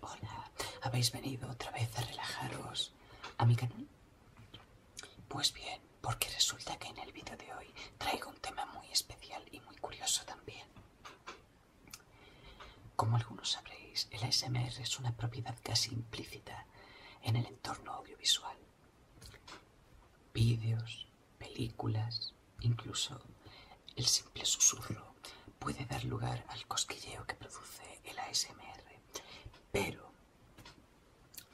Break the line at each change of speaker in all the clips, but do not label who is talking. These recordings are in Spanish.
Hola, ¿habéis venido otra vez a relajaros a mi canal? Pues bien, porque resulta que en el vídeo de hoy traigo un tema muy especial y muy curioso también. Como algunos sabréis, el ASMR es una propiedad casi implícita en el entorno audiovisual. Vídeos, películas, incluso el simple susurro puede dar lugar al cosquilleo que produce el ASMR. Pero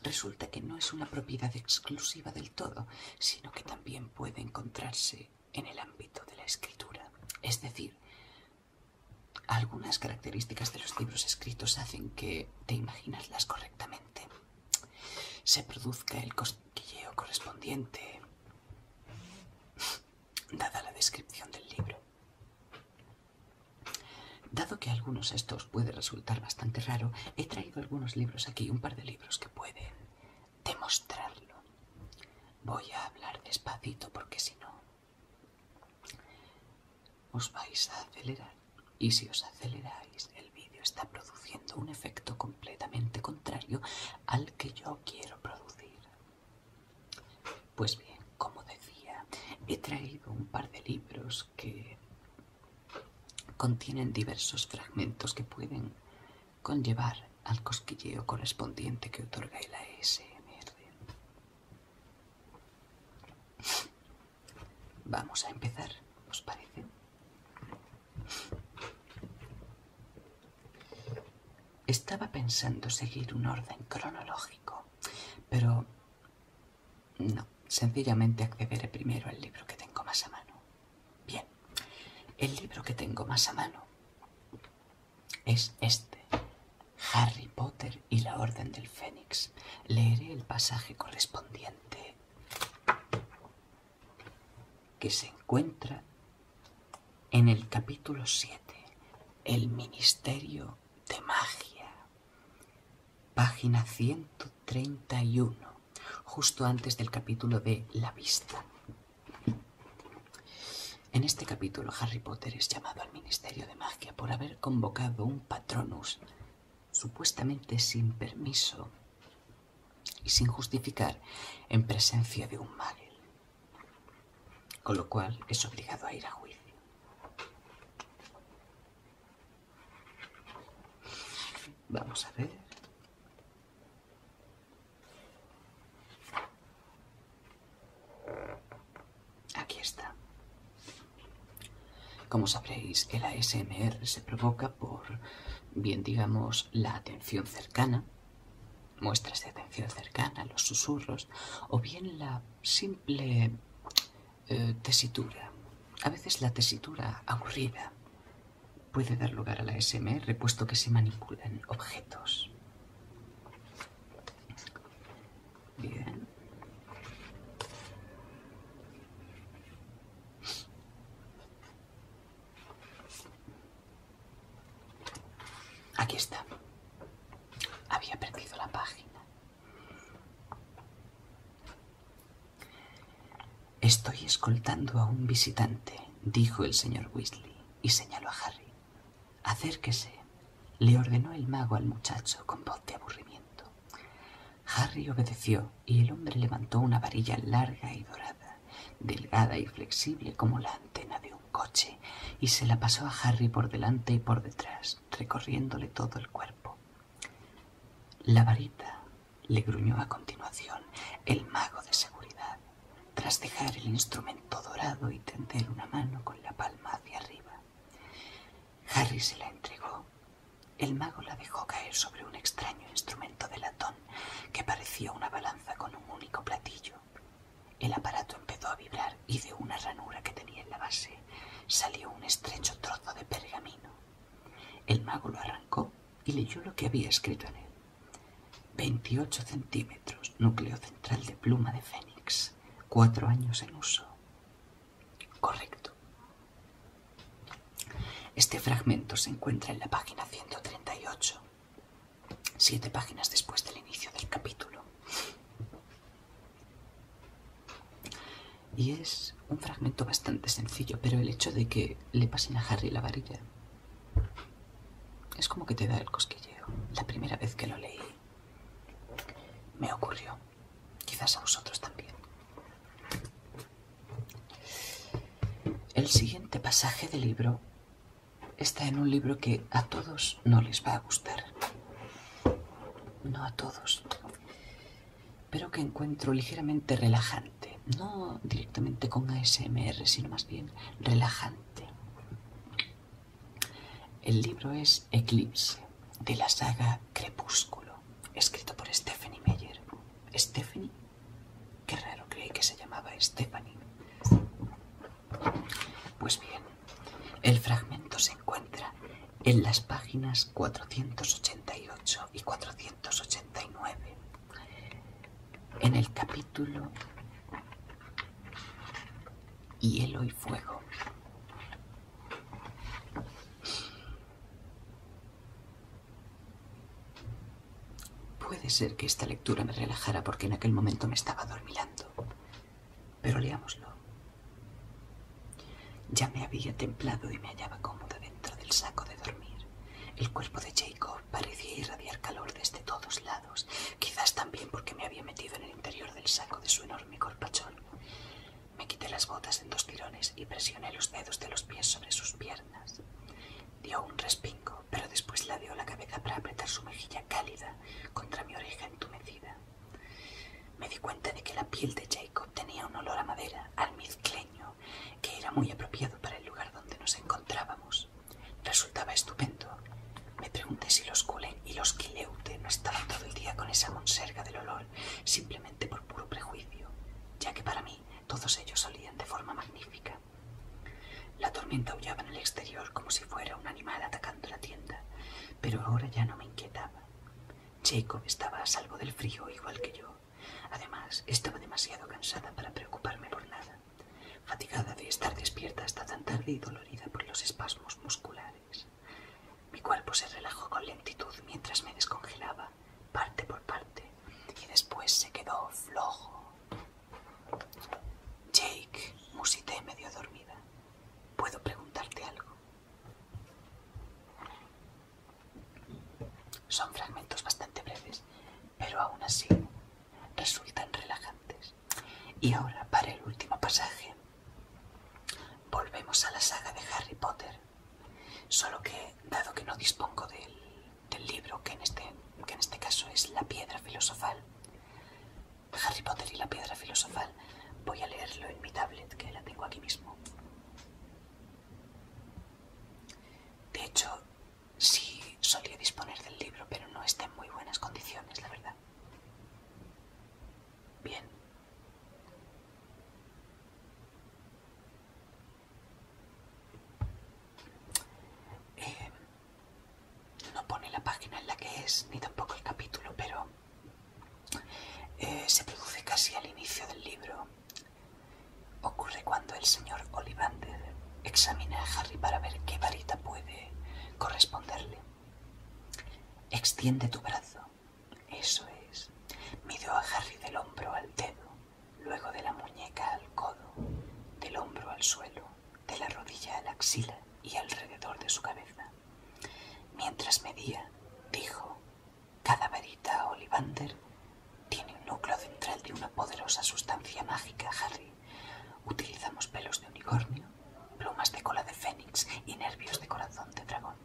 resulta que no es una propiedad exclusiva del todo, sino que también puede encontrarse en el ámbito de la escritura. Es decir, algunas características de los libros escritos hacen que te imaginaslas correctamente se produzca el cosquilleo correspondiente dada la descripción del libro. Dado que algunos de estos puede resultar bastante raro, he traído algunos libros aquí, un par de libros que pueden demostrarlo. Voy a hablar despacito porque si no os vais a acelerar. Y si os aceleráis, el vídeo está produciendo un efecto completamente contrario al que yo quiero producir. Pues bien, como decía, he traído un par de libros que contienen diversos fragmentos que pueden conllevar al cosquilleo correspondiente que otorga la S.M.R. Vamos a empezar, ¿os parece? Estaba pensando seguir un orden cronológico, pero no, sencillamente accederé primero al libro que tengo más a mano. Bien, el libro que tengo más a mano es este, Harry Potter y la Orden del Fénix. Leeré el pasaje correspondiente que se encuentra en el capítulo 7, el Ministerio de Magia, página 131, justo antes del capítulo de La Vista. En este capítulo Harry Potter es llamado al Ministerio de Magia por haber convocado un patronus supuestamente sin permiso y sin justificar en presencia de un mago, con lo cual es obligado a ir a juicio. Vamos a ver. Aquí está. Como sabréis, el ASMR se provoca por, bien digamos, la atención cercana, muestras de atención cercana, los susurros, o bien la simple eh, tesitura. A veces la tesitura aburrida puede dar lugar a la SMR puesto que se manipulan objetos. Bien. Aquí está. Había perdido la página. Estoy escoltando a un visitante, dijo el señor Weasley y señaló a Harry. Acérquese, le ordenó el mago al muchacho con voz de aburrimiento. Harry obedeció y el hombre levantó una varilla larga y dorada, delgada y flexible como la antena de un coche, y se la pasó a Harry por delante y por detrás, recorriéndole todo el cuerpo. La varita le gruñó a continuación el mago de seguridad, tras dejar el instrumento dorado y tender una mano con la palma hacia arriba. Harry se la entregó. El mago la dejó caer sobre un extraño instrumento de latón que parecía una balanza con un único platillo. El aparato empezó a vibrar y de una ranura que tenía en la base salió un estrecho trozo de pergamino. El mago lo arrancó y leyó lo que había escrito en él. 28 centímetros, núcleo central de pluma de fénix, cuatro años en uso. Correcto. Este fragmento se encuentra en la página 138, siete páginas después del inicio del capítulo. Y es un fragmento bastante sencillo, pero el hecho de que le pasen a Harry la varilla es como que te da el cosquilleo. La primera vez que lo leí me ocurrió. Quizás a vosotros también. El siguiente pasaje del libro está en un libro que a todos no les va a gustar. No a todos. Pero que encuentro ligeramente relajante. No directamente con ASMR, sino más bien relajante. El libro es Eclipse, de la saga Crepúsculo, escrito por Stephanie Meyer. Stephanie, qué raro creí que se llamaba Stephanie. Pues bien, el fragmento se encuentra en las páginas 488 y 489, en el capítulo Hielo y Fuego. Puede ser que esta lectura me relajara porque en aquel momento me estaba dormilando. Pero leámoslo. Ya me había templado y me hallaba cómoda dentro del saco de dormir. El cuerpo de Jacob parecía irradiar calor desde todos lados, quizás también porque me había metido en el interior del saco de su enorme corpachón. Me quité las botas en dos tirones y presioné los dedos de los pies sobre sus piernas. Dio un respingo, pero después la dio la cabeza para apretar su mejilla cálida contra mi oreja entumecida. Me di cuenta de que la piel de Jacob tenía un olor a madera almizcleño que era muy apropiado para el lugar donde nos encontrábamos. Resultaba estupendo, me pregunté si los Cullen y los Kileute no estaban todo el día con esa monserga del olor, simplemente por puro prejuicio, ya que para mí todos ellos salían de forma magnífica. La tormenta aullaba en el exterior como si fuera un animal atacando la tienda, pero ahora ya no me inquietaba. Jacob estaba a salvo del frío igual que yo. Además, estaba demasiado cansada para preocuparme por nada, fatigada de estar despierta hasta tan tarde y dolorida por los espasmos musculares. Mi cuerpo se relajó con lentitud mientras me descongelaba, parte por parte, y después se quedó flojo. Jake, musité medio dormida. ¿Puedo preguntarte algo? Son fragmentos bastante breves, pero aún así resultan relajantes. Y ahora, para el último pasaje, volvemos a la saga de Harry Potter. Solo que, dado que no dispongo del, libro, que en, este, que en este caso es La piedra filosofal, Harry Potter y la piedra filosofal, voy a leerlo en mi tablet, que la tengo aquí mismo. De hecho, sí solía disponer del libro, pero no está en muy buenas condiciones, la verdad. Bien. Eh, no pone la página en la que es, ni tampoco el capítulo, pero eh, se produce casi al inicio del libro. Ocurre cuando el señor Ollivander examina a Harry para ver qué varita puede corresponderle. Extiende tu brazo. Eso es. Midió a Harry del hombro al dedo, luego de la muñeca al codo, del hombro al suelo, de la rodilla a la axila y alrededor de su cabeza. Mientras medía, dijo, cada varita Olivander tiene un núcleo central de una poderosa sustancia mágica, Harry. Utilizamos pelos de unicornio, plumas de cola de fénix y nervios de corazón de dragón.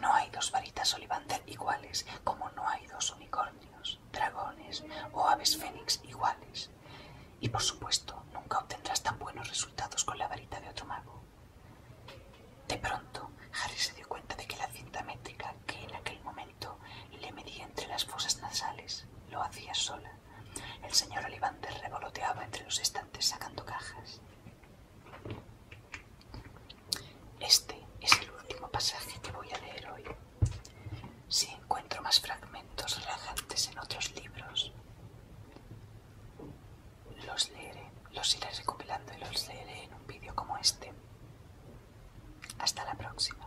No hay dos varitas Ollivander iguales, como no hay dos unicornios, dragones o aves fénix iguales. Y por supuesto, nunca obtendrás tan buenos resultados con la varita de otro mago. De pronto, Harry se dio cuenta de que la cinta métrica que en aquel momento le medía entre las fosas nasales lo hacía sola. El señor Olivander revoloteaba entre los estantes sacando cajas. Este es el último pasaje que voy a leer hoy. Si encuentro más fragmentos relajantes en otros libros, los leeré, los iré recopilando y los leeré en un vídeo como este. Hasta la próxima.